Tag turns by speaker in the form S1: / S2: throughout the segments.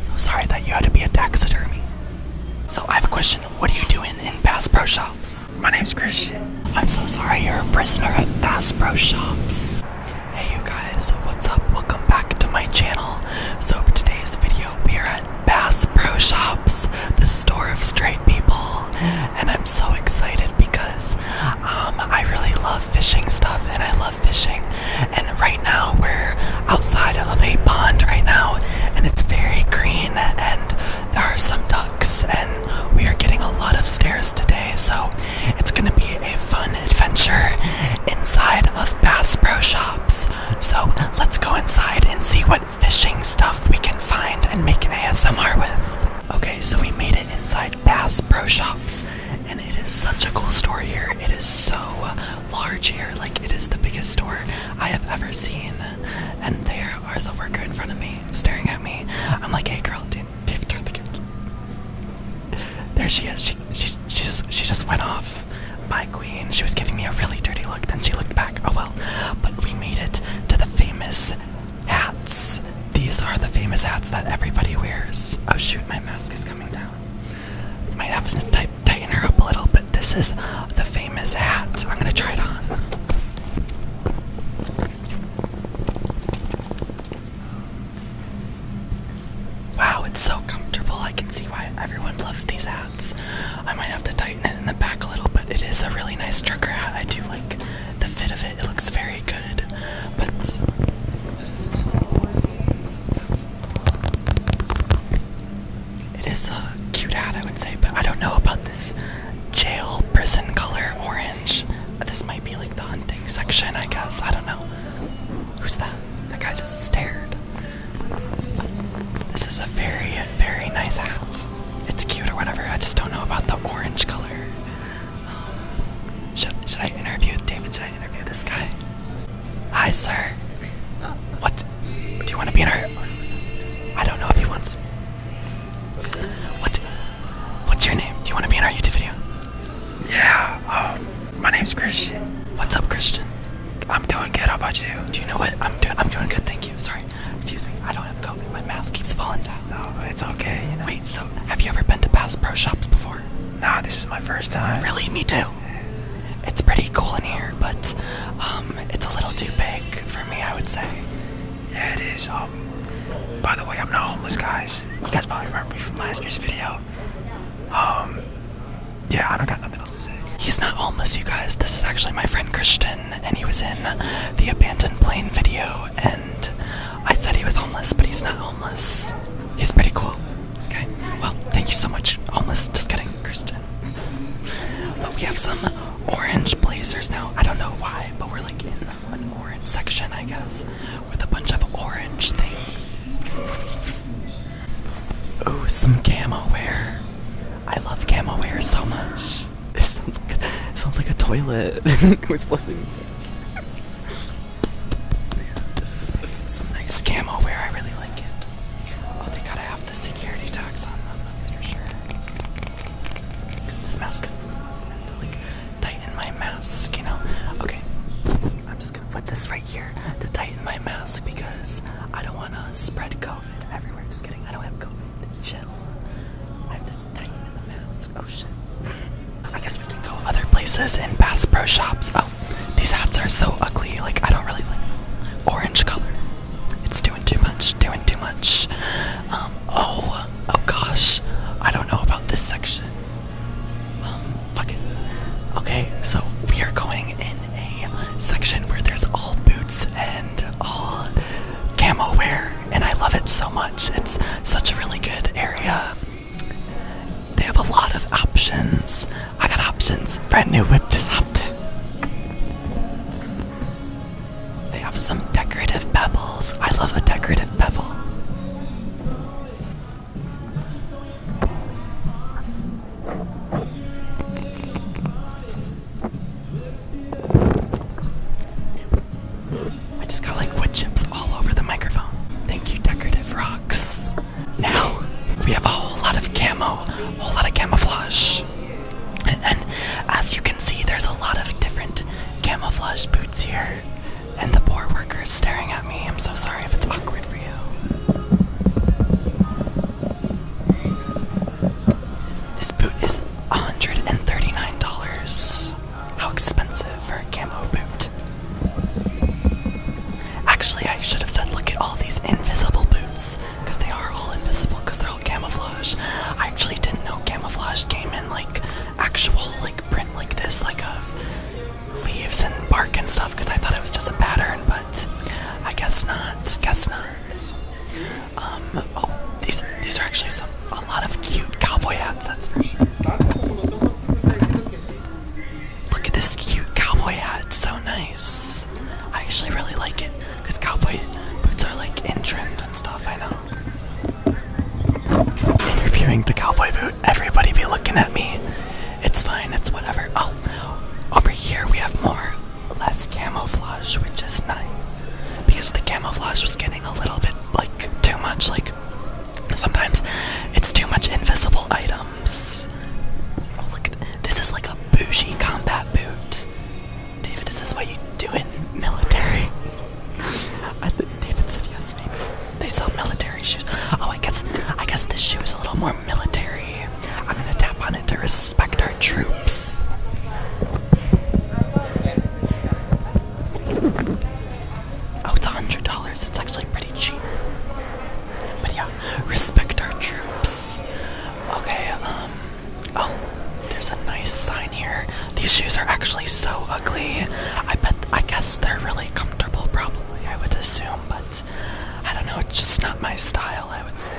S1: So sorry that you had to be a taxidermy. So I have a question. What are you doing in Bass Pro Shops? My name's Christian. I'm so sorry you're a prisoner at Bass Pro Shops. Hey you guys, what's up? Welcome back to my channel. So for today's video, we are at Bass Pro Shops, the store of straight people. And I'm so excited because um, I really love fishing stuff and I love fishing, and right now we're outside of a pond right now, and it's very green, and there are some ducks, and we are getting a lot of stares today, so it's gonna be a fun adventure inside of Bass Pro Shops. So let's go inside and see what fishing stuff we can find and make an ASMR with. Okay, so we made it inside Bass Pro Shops, and it is such a cool store here. It is so large here. Like, it is the biggest store I have ever seen. And there is a worker in front of me staring at me. I'm like, hey, girl, dude, dude, turn the camera. There she is. She, she, she, just, she just went off. My queen. She was giving me a really dirty look. Then she looked back. Oh, well. But we made it to the famous hats. These are the famous hats that everybody wears. Oh, shoot, my mask is coming down. I Might have to tighten her up a little, but this is the famous hat. So I'm gonna try it on. Wow, it's so comfortable. I can see why everyone loves these hats. I might have to tighten it in the back a little, but it is a really nice trucker hat. I do like the fit of it. It looks very good. But just. It is a cute hat, I would say, but I don't know about this jail prison color orange. This might be like the hunting section, I guess. I don't know. Who's that? That guy just stared. This is a very, very nice hat. It's cute or whatever. I just don't know about the orange color. Um, should, should I interview David? Should I interview this guy? Hi, sir. What? Do you want to be in our? I don't know if he wants. What? What's your name? Do you want to be in our YouTube video? Yeah. Um, my name's Christian. What's up, Christian? I'm doing good. How about you? Do you know what? I'm doing. I'm doing good. Thank you. Sorry. Excuse me. I don't have COVID. My mask keeps falling down. No, it's okay. You know? Wait. So, have you ever been to Bass Pro Shops before? Nah, this is my first time. Really? Me too. It's pretty cool in here, but um, it's a little too big for me, I would say. Yeah, it is. Um, by the way, I'm not homeless, guys. You guys probably remember me from last year's video. Um, yeah, I don't got nothing else to say. He's not homeless, you guys. This is actually my friend Christian, and he was in the abandoned plane video, and I said he was homeless, but he's not homeless. He's pretty cool. Okay, well, thank you so much. Almost just kidding, Christian. But we have some orange blazers now. I don't know why, but we're like in an orange section, I guess, with a bunch of orange things. Oh, some camo wear. I love camo wear so much. This sounds, it sounds like a toilet. This is some nice camo wear, I really like it. Oh, they gotta have the security tags on that's for sure. This mask is gross, like tighten my mask, you know? Okay, I'm just gonna put this right here to tighten my mask because I don't wanna spread COVID everywhere. Just kidding, I don't have COVID. Chill. I have to tighten the mask. Oh shit. I guess we can go other places in Bass Pro Shops. Oh, these hats are so ugly. Like, I don't really like Orange color. It's doing too much, doing too much. Um, oh, oh gosh. I don't know about this section. Um, fuck it. Okay, so we are going in a section where there's all boots and all camo wear, and I love it so much. It's such a really good area. They have a lot of options. I got options. Brand new whip just hopped They have some decorative pebbles. I love a decorative pebble. I just got like wood chips all over the microphone. Thank you, Decorative Rock. Now we have a whole lot of camo, a whole lot of camouflage. And, and as you can see, there's a lot of different camouflage boots here. And the poor worker is staring at me. I'm so sorry if it's awkward for you. This boot is $139. How expensive for a camo boot. Actually, I should have said look at all these invisible boots, because they are all invisible because they're all camouflage. I actually didn't know camouflage came in like actual like print like this, like of leaves and bark and stuff, because I thought it was just a pattern, but I guess not. Guess not. Um oh these these are actually some a lot of cute cowboy hats, that's for sure. Look at this cute cowboy hat. It's so nice. I actually really like it because cowboy boots are like in trend and stuff. I know. Interviewing the cowboy boot. Everybody be looking at me. It's fine. It's whatever. Oh, over here we have more less camouflage, which is nice because the camouflage was getting a little bit like too much. Like sometimes it's too much invisible items. Oh, look, this is like a bougie combat boot. David, is this what you do in military? I think David said yes, maybe. They sell military shoes. Oh, I guess I guess this shoe is a little more military. I'm gonna tap on it to respect our troops. Oh, it's $100. It's actually pretty cheap. But yeah, respect our troops. Okay, um, oh, there's a nice sign here. These shoes are actually so ugly. I bet, I guess they're really comfortable, probably, I would assume, but I don't know, it's just not my style, I would say.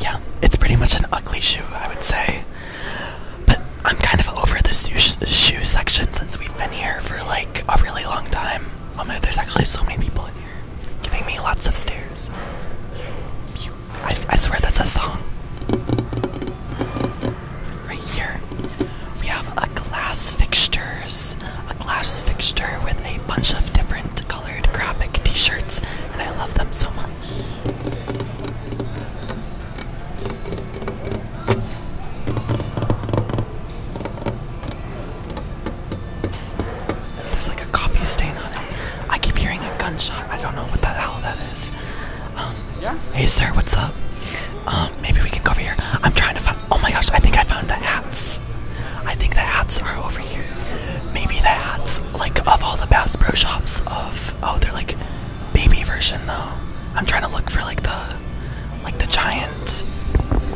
S1: Yeah, it's pretty much an ugly shoe, I would say. But I'm kind of over the shoe, section since we've been here for like a really long time. Oh my, there's actually so many people in here giving me lots of stares. I, swear that's a song. Right here, we have a glass fixtures, a glass fixture with a bunch of different I There's like a coffee stain on it. I keep hearing a gunshot. I don't know what the hell that is. Um, Hey sir, what's up? Um, maybe we can go over here. I'm trying to find. Oh my gosh, I think I found the hats. I think the hats are over here. Maybe the hats, like of all the Bass Pro Shops of oh, they're like baby version though. I'm trying to look for like the like the giant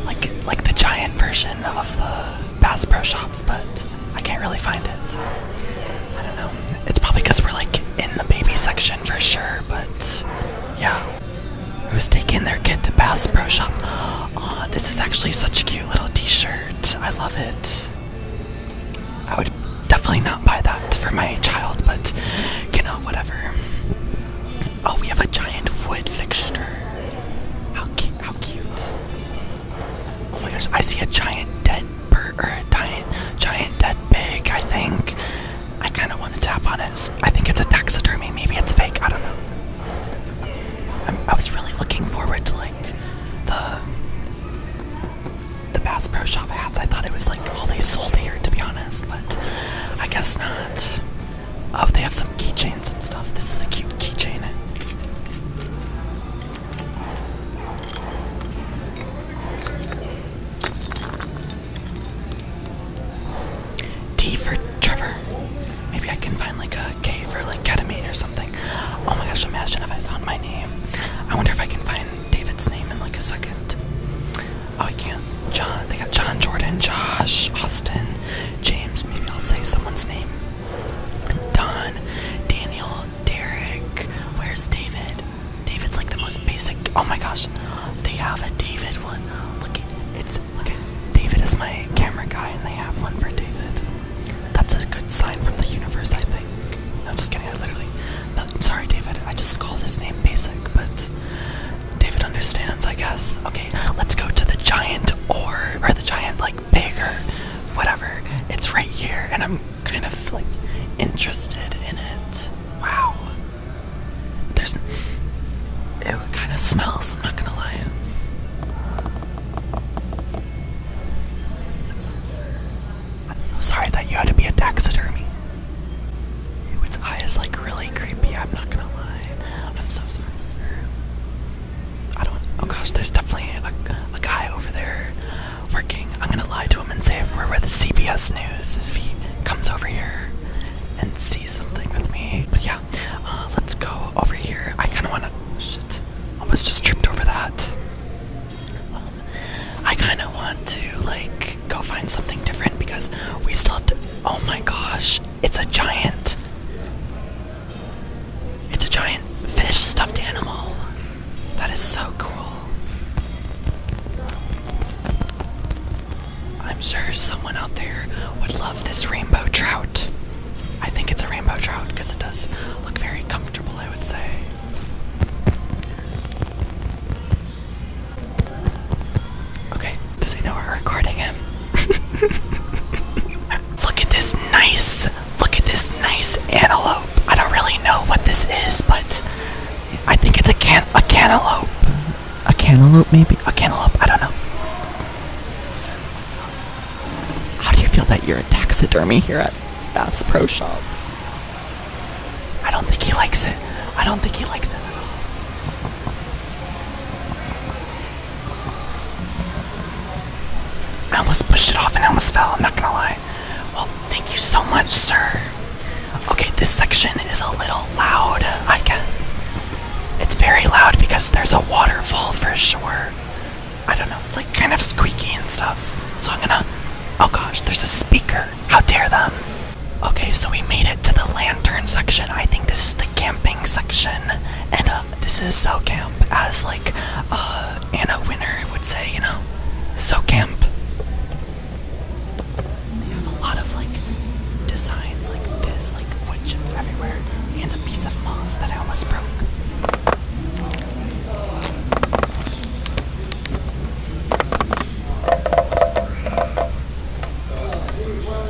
S1: like like the giant version of the Bass Pro Shops, but I can't really find it. So I don't know. It's probably because we're like in the baby section for sure, but yeah. Who's taking their kid to Bass Pro Shop? Oh, this is actually such a cute little t-shirt. I love it. I would definitely not buy that for my child, but you know, whatever. Oh, we have a giant wood fixture. How cute! Oh my gosh, I see a giant dead bird or a giant, giant dead pig. I think I kind of want to tap on it. I think it's a taxidermy. Maybe it's fake. I don't know. i I was really looking forward to the the Bass Pro Shop hats. I thought it was like all they sold here, to be honest, but I guess not. Oh, they have some keychains and stuff. This is a cute keychain. D for Trevor. Maybe I can find like a cave for like ketamine or something. Oh my gosh, imagine if I found my name. I wonder if I can find David's name in like a second. Oh, I can't. John, they got John Jordan, Josh, Austin, James. Maybe I'll say someone's name. Don, Daniel, Derek. Where's David? David's like the most basic. Oh my gosh, they have a David one. Look, it's Look David is my camera guy, and they have one for David. That's a good sign from the universe, I think. No, just kidding. I literally. sorry, David. I just called his name basic, but David understands, I guess. Okay, let's go to the giant or or the giant like bigger, whatever. It's right here, and I'm kind of like interested in it. Wow. There's. It kind of smells. I'm not gonna lie. What's up, sir? I'm so sorry that you had to be a taxidermy. Ew, its like really creepy, I'm not gonna lie. I'm so sorry, sir. I don't. Oh gosh, there's definitely a, a guy over there working. I'm gonna lie to him and say we're with CBS News if he comes over here and sees something with me. But yeah, uh, let's go over here. I kind of want to. Shit, almost just tripped over that. Um, I kind of want to like go find something different because we still have to. Oh my gosh, it's a giant. It's a giant fish stuffed animal. That is so cool. I'm sure someone out there would love this rainbow trout. I think it's a rainbow trout because it does look very comfortable, I would say. Okay, does he know we're recording him? look at this nice, look at this nice antelope. I don't really know what this is, but I think it's a can a cantaloupe. A cantaloupe maybe? A cantaloupe, I don't know. How do you feel that you're a taxidermy here at Bass Pro Shops? I don't think he likes it. I don't think he likes it at all. I almost pushed it off and almost fell, I'm not gonna lie. Well, thank you so much, sir. Okay, this section is a little loud, I guess. It's very loud because there's a waterfall for sure. I don't know, it's like kind of squeaky and stuff. So I'm gonna. Oh gosh, there's a speaker. How dare them! Okay, so we made it to the lantern section. I think this is the camping section. And uh, this is So Camp, as like uh, Anna Winner would say, you know? So Camp. They have a lot of like designs like this like wood chips everywhere and a piece of moss that I almost broke.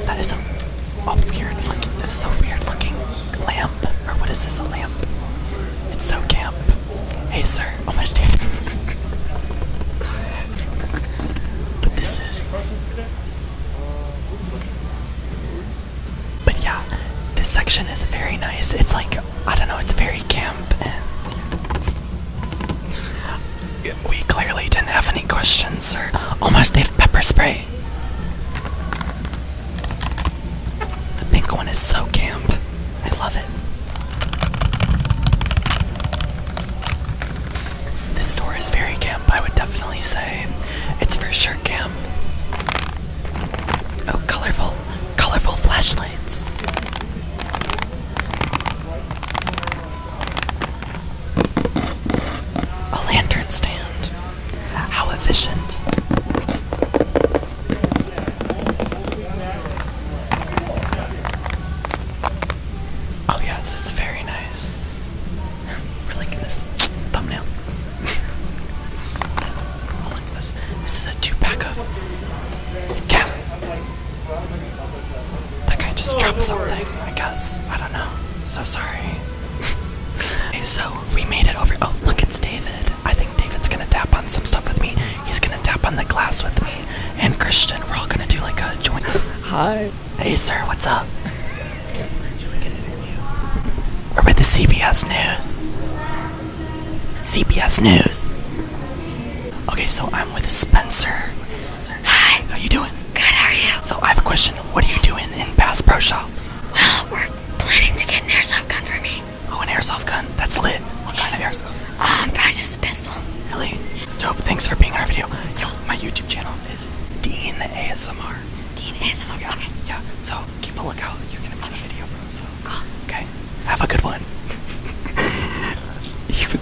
S1: That is a, a weird looking, this is a weird looking lamp, or what is this, a lamp? It's so camp. Hey sir, Almost my but this is, but yeah, this section is very nice. It's like, I don't know, it's very camp We clearly didn't have any questions, or almost they have pepper spray. The pink one is so camp. I love it. This store is very camp, I would definitely say. It's for sure camp. Oh, colorful, colorful flashlights. A lantern stand. How efficient. Oh, yes, it's very nice. We're liking this thumbnail. I like this. This is a two-pack of Cap. That guy just dropped oh, something, I guess. I don't know. So sorry. so we made it over. Oh, look, it's David. I think David's gonna tap on some stuff with me. He's gonna tap on the glass with me. And Christian, we're all gonna do like a joint. Hi. Hey, sir, what's up? We're with the CBS News. CBS News. Okay, so I'm with Spencer. What's up, Spencer? Hi. How you doing? Good, how are you? So I have a question. What are you doing in Bass Pro Shops? Well, we're planning to get an airsoft gun for me. Oh, an airsoft gun? That's lit. What kind of airsoft? Um, probably just a pistol. Really? It's dope. Thanks for being on our video. Yo, my YouTube channel is Dean ASMR. Dean ASMR. Yeah, So keep a lookout. You're gonna okay. video, bro. So okay. Have a good one.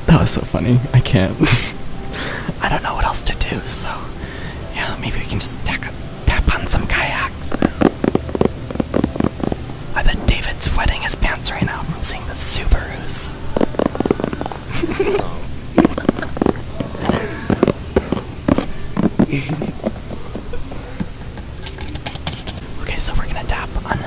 S1: that was so funny. I can't. I don't know what else to do. So yeah, maybe we can just tap tap on some kayaks. I bet David's wetting his pants right now from seeing the Subarus. okay, so we're gonna tap on.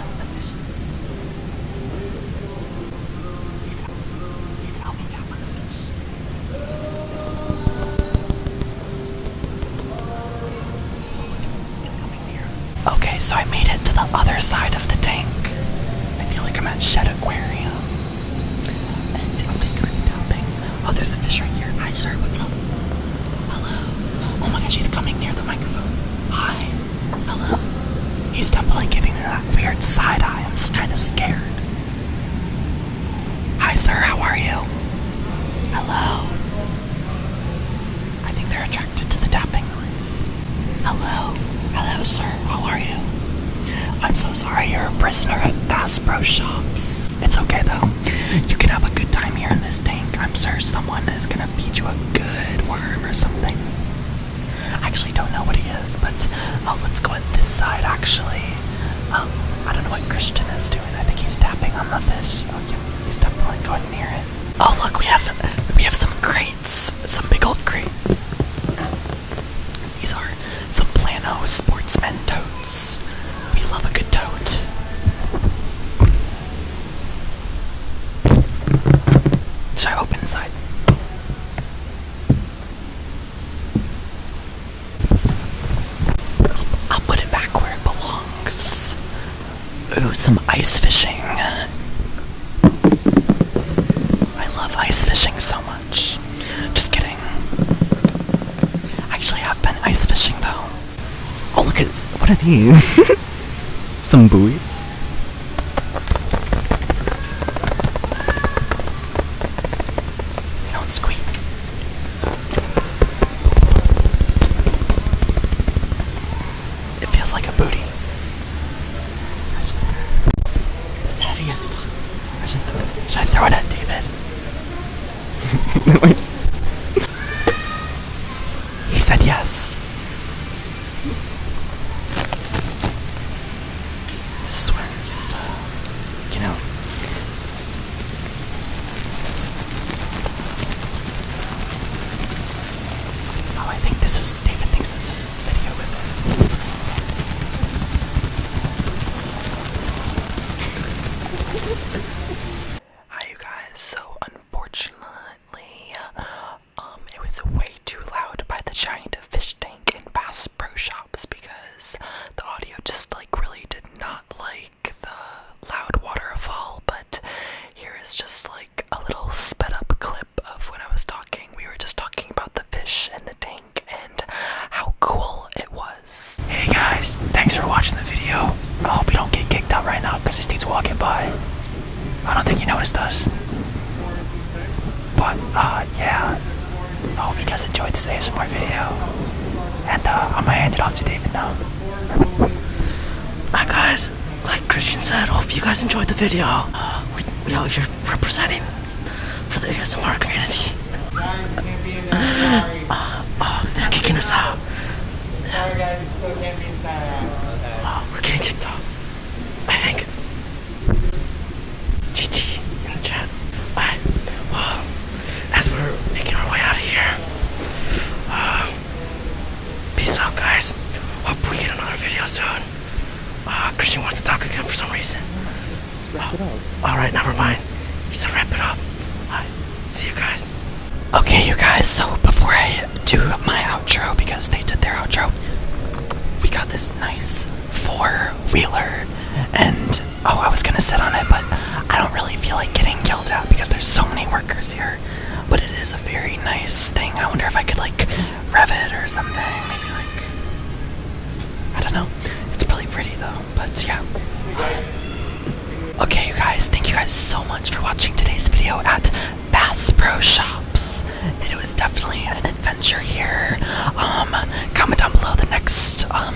S1: Okay, so I made it to the other side of the tank. I feel like I'm at Shed Aquarium. I'm just gonna be tapping. Oh, there's a fish right here. Hi, sir. What's up? Hello. Oh my gosh, he's coming near the microphone. Hi. Hello. He's definitely giving me that weird side eye. I'm kind of scared. Hi, sir. How are you? Hello. I think they're attracted to the tapping noise. Hello. Hello, sir. How are you? I'm so sorry you're a prisoner at Bass Pro Shops. It's okay, though. You can have a good time here in this tank. I'm sure someone is gonna feed you a good worm or something. I actually don't know what he is, but oh, let's go at this side, actually. Um, I don't know what Christian is doing. I think he's tapping on the fish. Oh, yeah, he's definitely going near it. Oh, look, we have we have some great some big old crates. These are some Plano Sportsman totes. We love a good tote. Should I open inside? I'll put it back where it belongs. Ooh, some ice fishing. I love ice fishing so much. Just kidding. Actually, I've been ice fishing though. Oh, look at what are these? Some buoys. don't squeak. It feels like a booty heavy as fuck. should throw it. Should I throw it at David? he said yes. This is where I used to, Oh, I think this is David thinks this is video with it. Hi you guys, so unfortunately, um, it was way too loud by the giant fish tank in Bass Pro Shops because the audio just like really did not like the loud waterfall, but here is just like a little sped up clip of when I was talking. We were just talking about the fish and the tank and how cool it was. Hey guys, thanks for watching the video. I hope you don't get kicked out right now because this dude's walking by. I don't think he noticed us. But uh yeah. I hope you guys enjoyed this ASMR video. And uh I'm gonna hand it off to David now. Hi guys, like Christian said, hope you guys enjoyed the video. Uh, we, we out here representing for the ASMR community. Uh, oh, they're kicking us out. Oh, we're getting kicked out. I think. GG in the chat. Alright, well, as we're making our way out of here, uh, peace out, guys. Hope we get another video soon. Uh, Christian wants to talk again for some reason. Oh, all right, never mind. He said wrap it up. Right, see you guys.
S2: Okay, you guys. So before I
S1: do my outro, because they did their outro, we got this nice four-wheeler, and oh, I was gonna sit on it, but I don't really feel like getting killed out because there's so many workers here. But it is a very nice thing. I wonder if I could like Revit or something. Maybe like I don't know. It's really pretty though. But yeah. okay, you guys. Thank you guys so much for watching today's video at Bass Pro Shops. It was definitely an adventure here. Um, comment down below the next um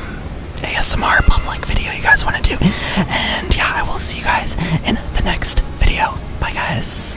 S1: ASMR public video you guys want to do, and yeah, I will see you guys in the next video. Bye, guys.